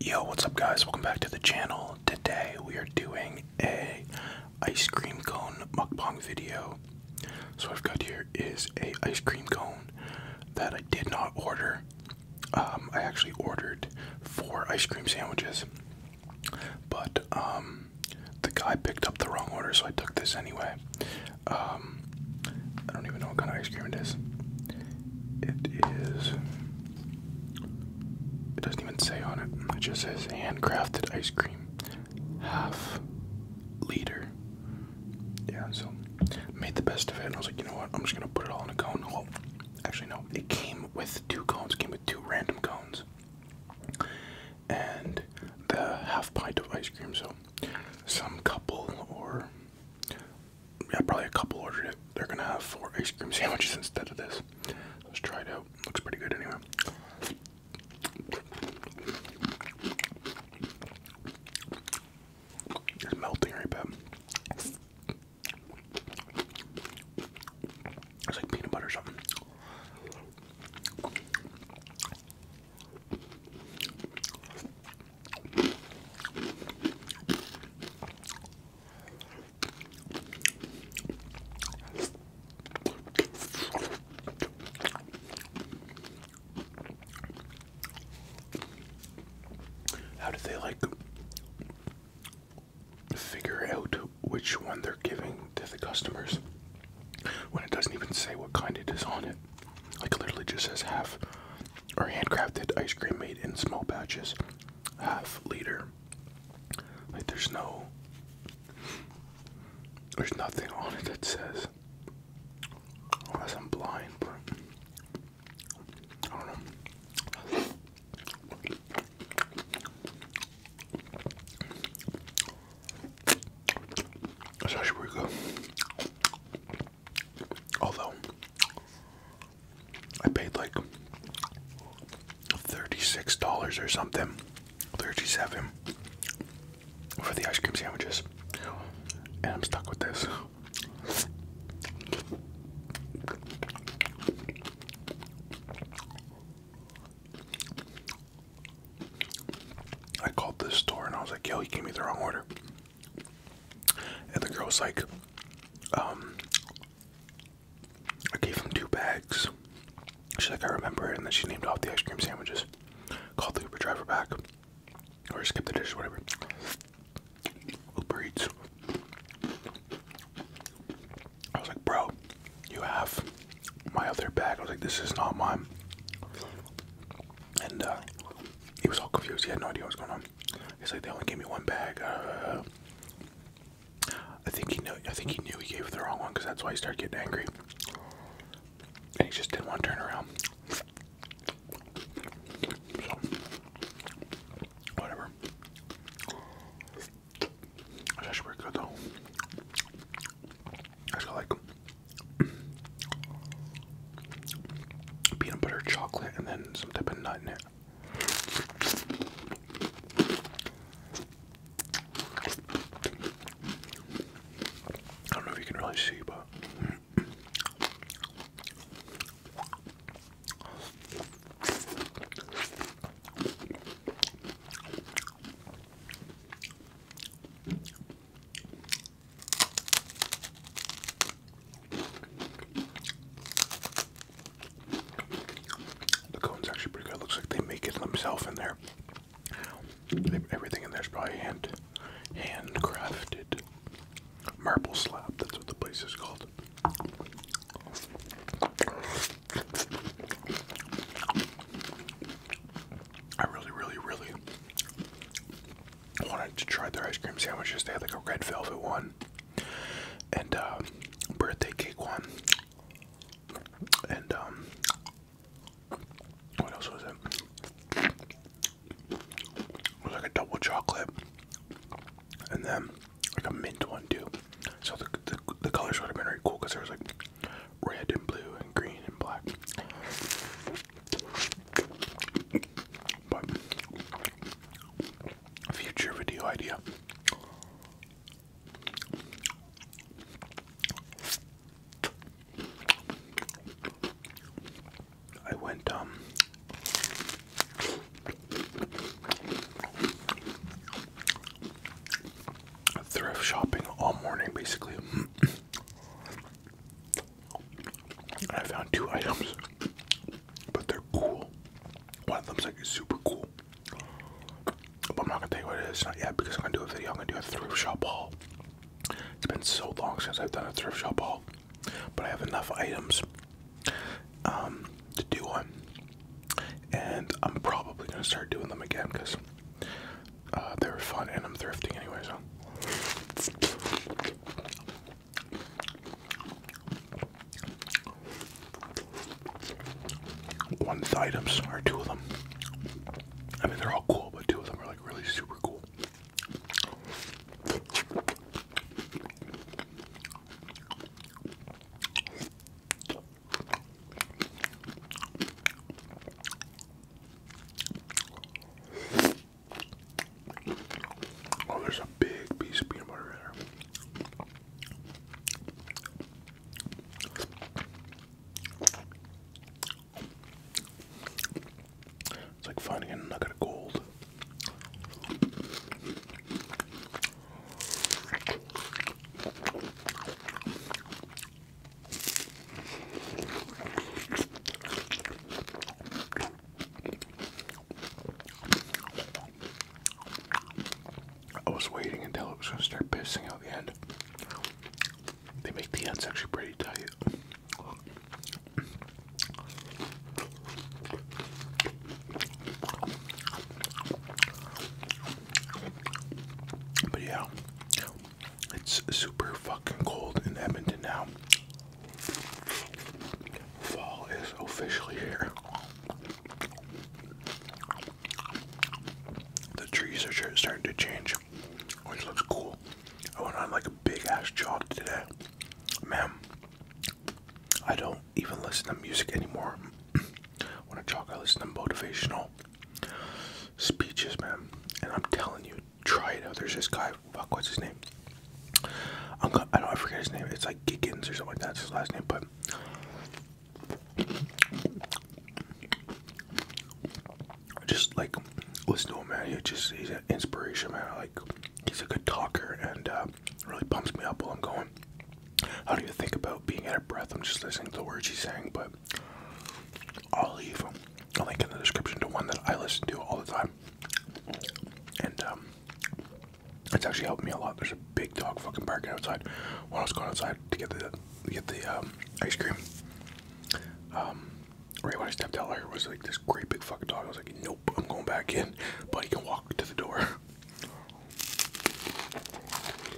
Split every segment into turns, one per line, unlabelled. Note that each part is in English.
Yo, what's up guys? Welcome back to the channel. Today we are doing a ice cream cone mukbang video. So what I've got here is a ice cream cone that I did not order. Um, I actually ordered four ice cream sandwiches, but um, the guy picked up the wrong order, so I took this anyway. Um, I don't even know what kind of ice cream it is. It is it doesn't even say on it. It just says handcrafted ice cream, half liter. Yeah, so made the best of it, and I was like, you know what? I'm just gonna put it all in a cone. Well, actually, no. It came with two cones. It came with two random cones, and the half pint of ice cream. So, some couple or yeah, probably a couple ordered it. They're gonna have four ice cream sandwiches instead of this. Let's try it out. Looks pretty good anyway. It's melting right back. It's like peanut butter or something. How do they like figure out which one they're giving to the customers when it doesn't even say what kind it is on it? Like, it literally just says half or handcrafted ice cream made in small batches, half liter. Like there's no, there's nothing on it that says. Unless I'm blind, but I don't know. Especially we go. Although I paid like thirty-six dollars or something, thirty-seven for the ice cream sandwiches, and I'm stuck with this. I called this store and I was like, yo, you gave me the wrong order. And the girl's like, um, I gave him two bags. She's like, I remember it. And then she named off the ice cream sandwiches. Called the Uber driver back. Or skip the dish, whatever. Uber Eats. I was like, bro, you have my other bag. I was like, this is not mine. And uh, he was all confused. He had no idea what was going on. It's like, they only gave me one bag. Uh, I think he knew. I think he knew he gave the wrong one because that's why he started getting angry, and he just didn't want to turn around. whatever. That's actually pretty good though. I got like peanut butter, chocolate, and then some type of nut in it. I don't know if you can really see, but the cone's actually pretty good. Looks like they make it themselves in there. Everything in there is probably hand, handcrafted. Marble slab, that's what the place is called. I really, really, really wanted to try their ice cream sandwiches. They had like a red velvet one and uh, birthday cake one. And um, what else was it? was like a double chocolate and then like a mint one too. So the, the, the colors would have been really cool because there was like red and blue and green and black future video idea. I went um, thrift shopping all morning basically I found two items, but they're cool. One of them's like super cool. But I'm not gonna tell you what it is, not yet, because I'm gonna do a video. I'm gonna do a thrift shop haul. It's been so long since I've done a thrift shop haul, but I have enough items um, to do one. And I'm probably gonna start doing them again because uh, they were fun, and I'm thrifting anyway, so. One items, or two of them. I mean, they're all cool, but two of them are like really super cool. Oh, there's a big piece of peanut butter in there. It's like finding a nugget of gold. I was waiting until it was going to start pissing out the end. They make the ends actually pretty tight. But yeah, it's super fucking cold in Edmonton now. Fall is officially here. The trees are starting to change, which looks cool. I went on like a big ass jog today. Man, I don't even listen to music anymore. when I jog, I listen to motivational speeches, man. And I'm telling you, try it out. There's this guy. Fuck, what's his name? I'm gonna, I do not I forget his name. It's like Giggins or something like that. That's his last name. But just like listen to him, man. He just he's an inspiration, man. like he's a good talker and uh, really pumps me up while I'm going. I don't even think about being out of breath. I'm just listening to the words he's saying. But I'll leave him a link in the description to one that I listen to all the time. And um, it's actually helped me a lot. There's a big dog fucking barking outside while I was going outside to get the get the um, ice cream. Um, right when I stepped out, there was like this great big fucking dog. I was like, nope, I'm going back in, but he can walk to the door.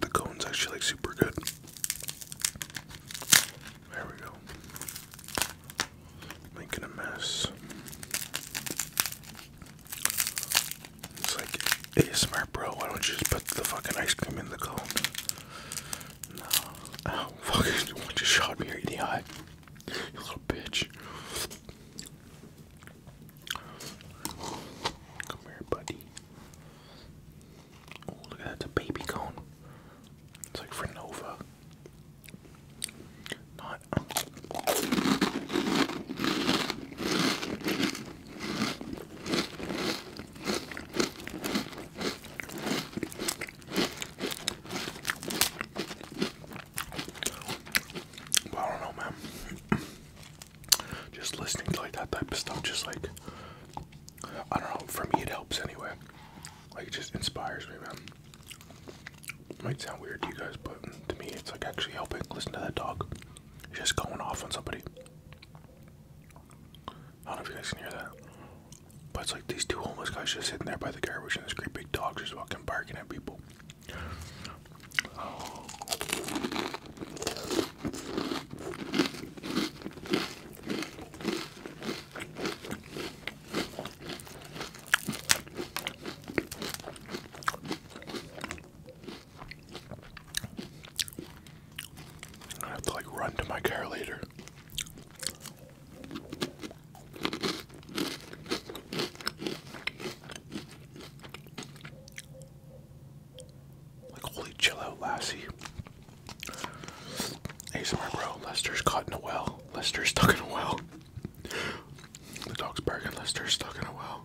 The cone's actually like super good. There we go. Making a mess. It's like ASMR, bro. Why don't you just put the fucking ice cream in the cone? No. Oh, fuck. You shot me, you idiot little bitch. Come here, buddy. Oh, look at that. It's a baby cone. It's like for Nova. Not. I don't know, man. Just listening to like that type of stuff, just like I don't know. For me, it helps anyway. Like, it just inspires me, man. might sound weird to you guys, but to me, it's like actually helping. Listen to that dog, just going off on somebody. I don't know if you guys can hear that. But it's like these two homeless guys just sitting there by the garbage, and this great big dog just walking barking at people. I have to like run to my car later. Like holy chill out Lassie. ASMR bro, Lester's caught in a well. Lester's stuck in a well. The dog's barking, Lester's stuck in a well.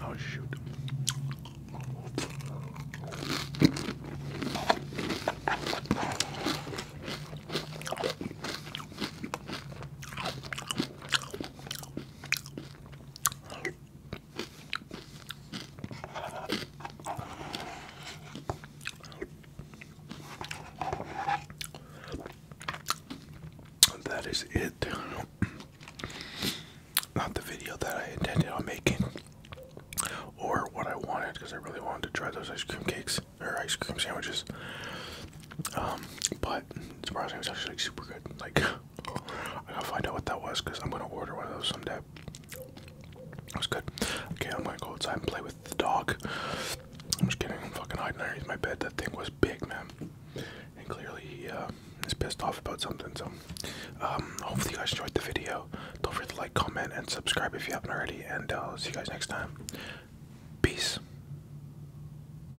Oh, shoot. That is it. Not the video that I intended on making or what I wanted because I really wanted to try those ice cream cakes or ice cream sandwiches. Um, but surprisingly, it was actually like, super good. Like, I gotta find out what that was because I'm gonna order one of those someday. was good. Okay, I'm gonna go outside and play with the dog. I'm just kidding. I'm fucking hiding underneath my bed. That thing was big, man. And clearly he uh, is pissed off about something. So, um, hopefully you guys enjoyed the video. Don't forget to like, comment, and subscribe if you haven't already. And uh, I'll see you guys next time. Peace.